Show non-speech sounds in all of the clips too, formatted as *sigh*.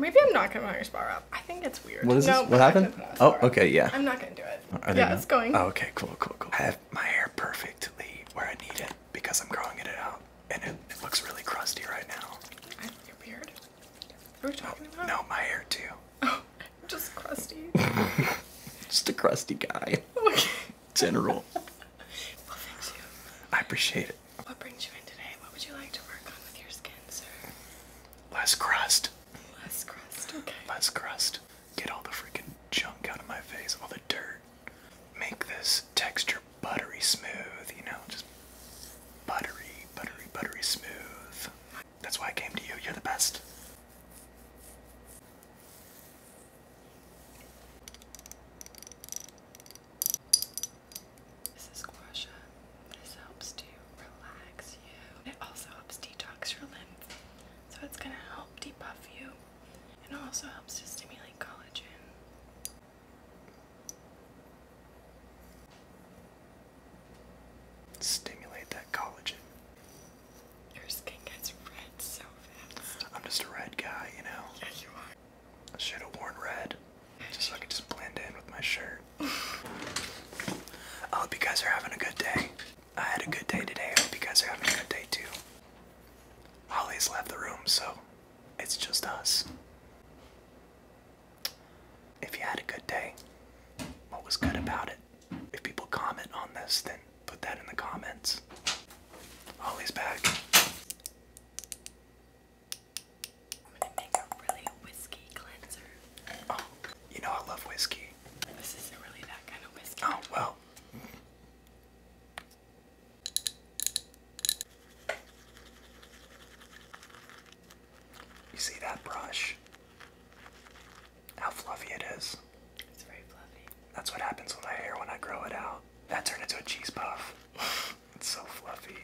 Maybe I'm not gonna your spa wrap. I think it's weird. What happened? Oh, okay, yeah. I'm not gonna do it. yeah, it's going. Oh, okay, cool, cool, cool. I have my hair perfectly where I need it because I'm growing it out, and it, looks really crusty right now. I, your beard? What are talking about? No, my hair too. Oh, *laughs* just crusty. *laughs* just a crusty guy. *laughs* general. *laughs* I appreciate it. What brings you in today? What would you like to work on with your skin, sir? Less crust. Less crust, okay. Less crust. Get all the freaking junk out of my face, all the dirt. Make this texture buttery smooth, you know, just buttery, buttery, buttery smooth. That's why I came to you. You're the best. This is guasha. This helps to relax you. It also helps detox your lymph. So it's gonna help debuff you and also helps to stimulate collagen. Stimulate that collagen. Your skin gets red so fast. I'm just a red guy, you know. Yeah, you are. I should have worn red, just so I could just blend in with my shirt. I hope you guys are having a good day. I had a good day today. I hope you guys are having a good day too. Holly's left the room, so it's just us. If you had a good day, what was good about it? If people comment on this, then put that in the comments. Holly's back. I'm gonna make a really whiskey cleanser. Oh, you know I love whiskey. This isn't really that kind of whiskey. Oh, well. You see that brush? How fluffy it is. It's very fluffy. That's what happens with my hair when I grow it out. That turned into a cheese puff. *laughs* it's so fluffy.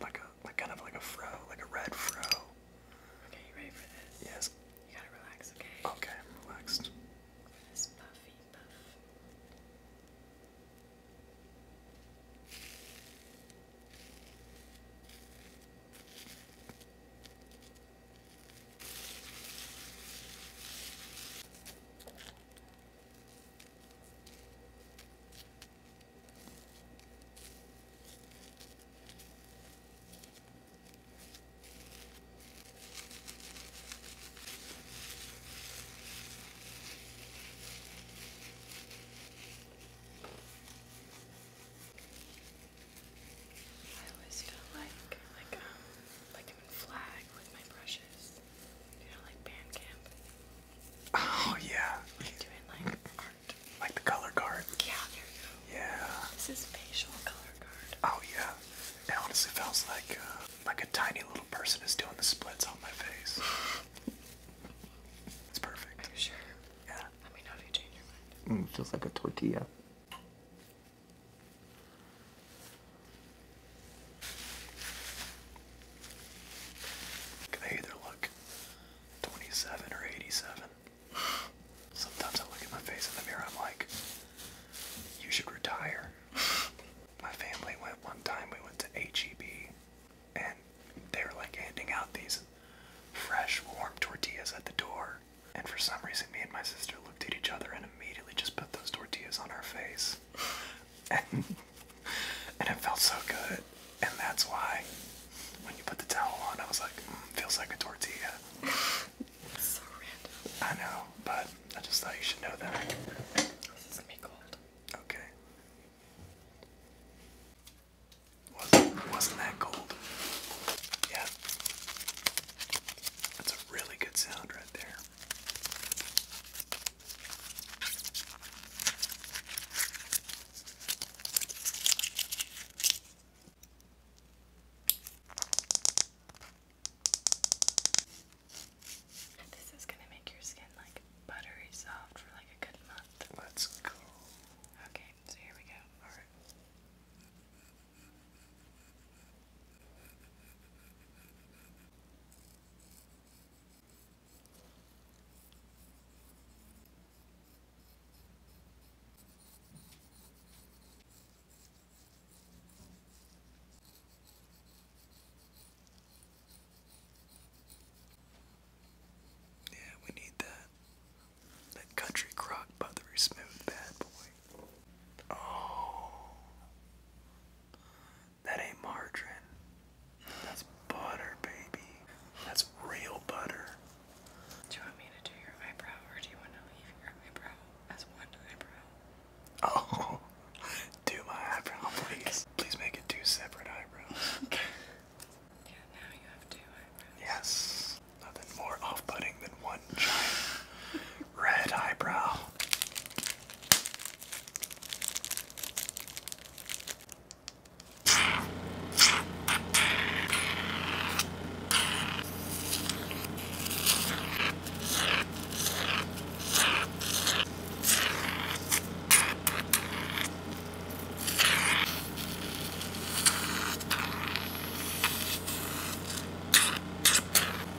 Like a like kind of like a fro, like a red fro. Okay, you ready for this? Yes. You gotta relax, okay? Okay, I'm relaxed. this puffy puff. I always feel like like um like I'm in with my brushes. Oh yeah. Like doing like art. Like the color card. Yeah, there you go. Yeah. This is facial color card. Oh yeah. It honestly feels like uh, like a tiny little person is doing the splits on my face. *laughs* it's perfect. sure? Yeah. Let me know if you change your mind. Mm, feels like a tortilla. I either look 27 or 87. Sometimes I look at my face in the mirror, I'm like, you should retire. My family went one time, we went to HEB, and they were like handing out these fresh, warm tortillas at the door. And for some reason, me and my sister looked at each other immediately just put those tortillas on our face. And, and it felt so good. And that's why when you put the towel on, I was like, mm, feels like a tortilla. so random. I know, but I just thought you should know that. This is be cold. Okay. wasn't that cold? Yeah. That's a really good sound right there. This is going to make your skin like buttery soft for like a good month. Let's go. Okay, so here we go. All right. Yeah, we need that. That country crock butter smooth bad boy. Oh. That ain't margarine. That's butter, baby. That's real butter. Do you want me to do your eyebrow or do you want to leave your eyebrow as one eyebrow? Oh, *laughs* do my eyebrow, please. Please make it two separate eyebrows. *laughs* yeah, now you have two eyebrows. Yes. Nothing more off putting anything than one giant red eyebrow.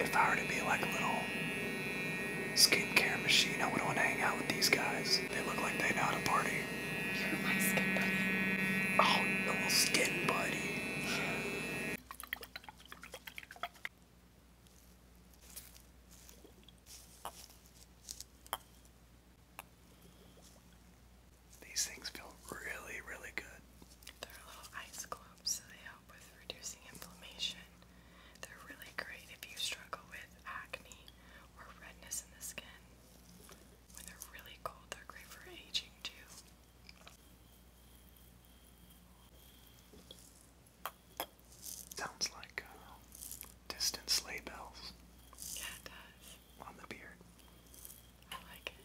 If I were to be like a little skin care machine, I would want to hang out with these guys. They look like they know how to party. You're my skin buddy. Oh, little skin buddy. These things feel really, really good. They're little ice globes, so they help with reducing inflammation. They're really great if you struggle with acne or redness in the skin. When they're really cold, they're great for aging too. Sounds like uh, distant sleigh bells. Yeah, it does. On the beard. I like it.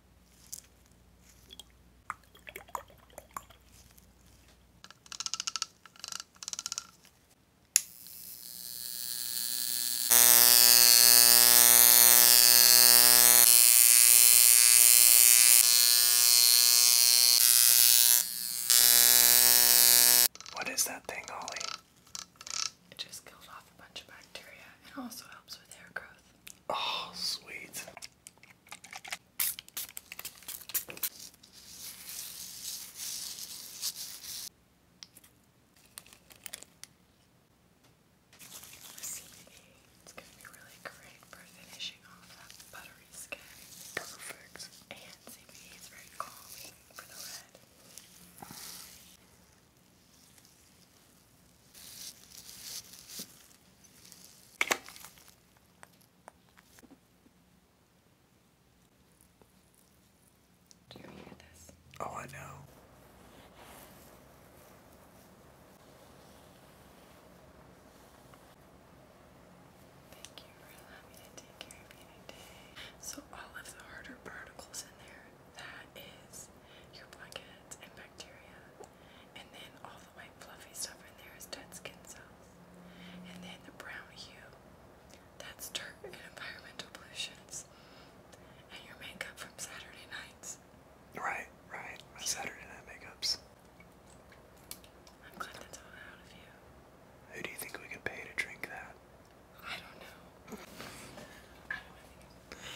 What is that thing, Ollie? It just kills off a bunch of bacteria and also helps with hair growth. Oh, sweet. It's going to be really great for finishing off that buttery skin. Perfect. And CBD is very calming for the red. Do you hear this? Oh, I know. Thank you for allowing me to care of you today. So all of the harder particles in there, that is your blankets and bacteria and then all the white fluffy stuff in there is dead skin cells. And then the brown hue, that's dirt and environmental pollutions. And your makeup from Saturday nights. Right, right. My Saturday night makeups. I'm glad that's all out of you. Who do you think we could pay to drink that? I don't know. *laughs*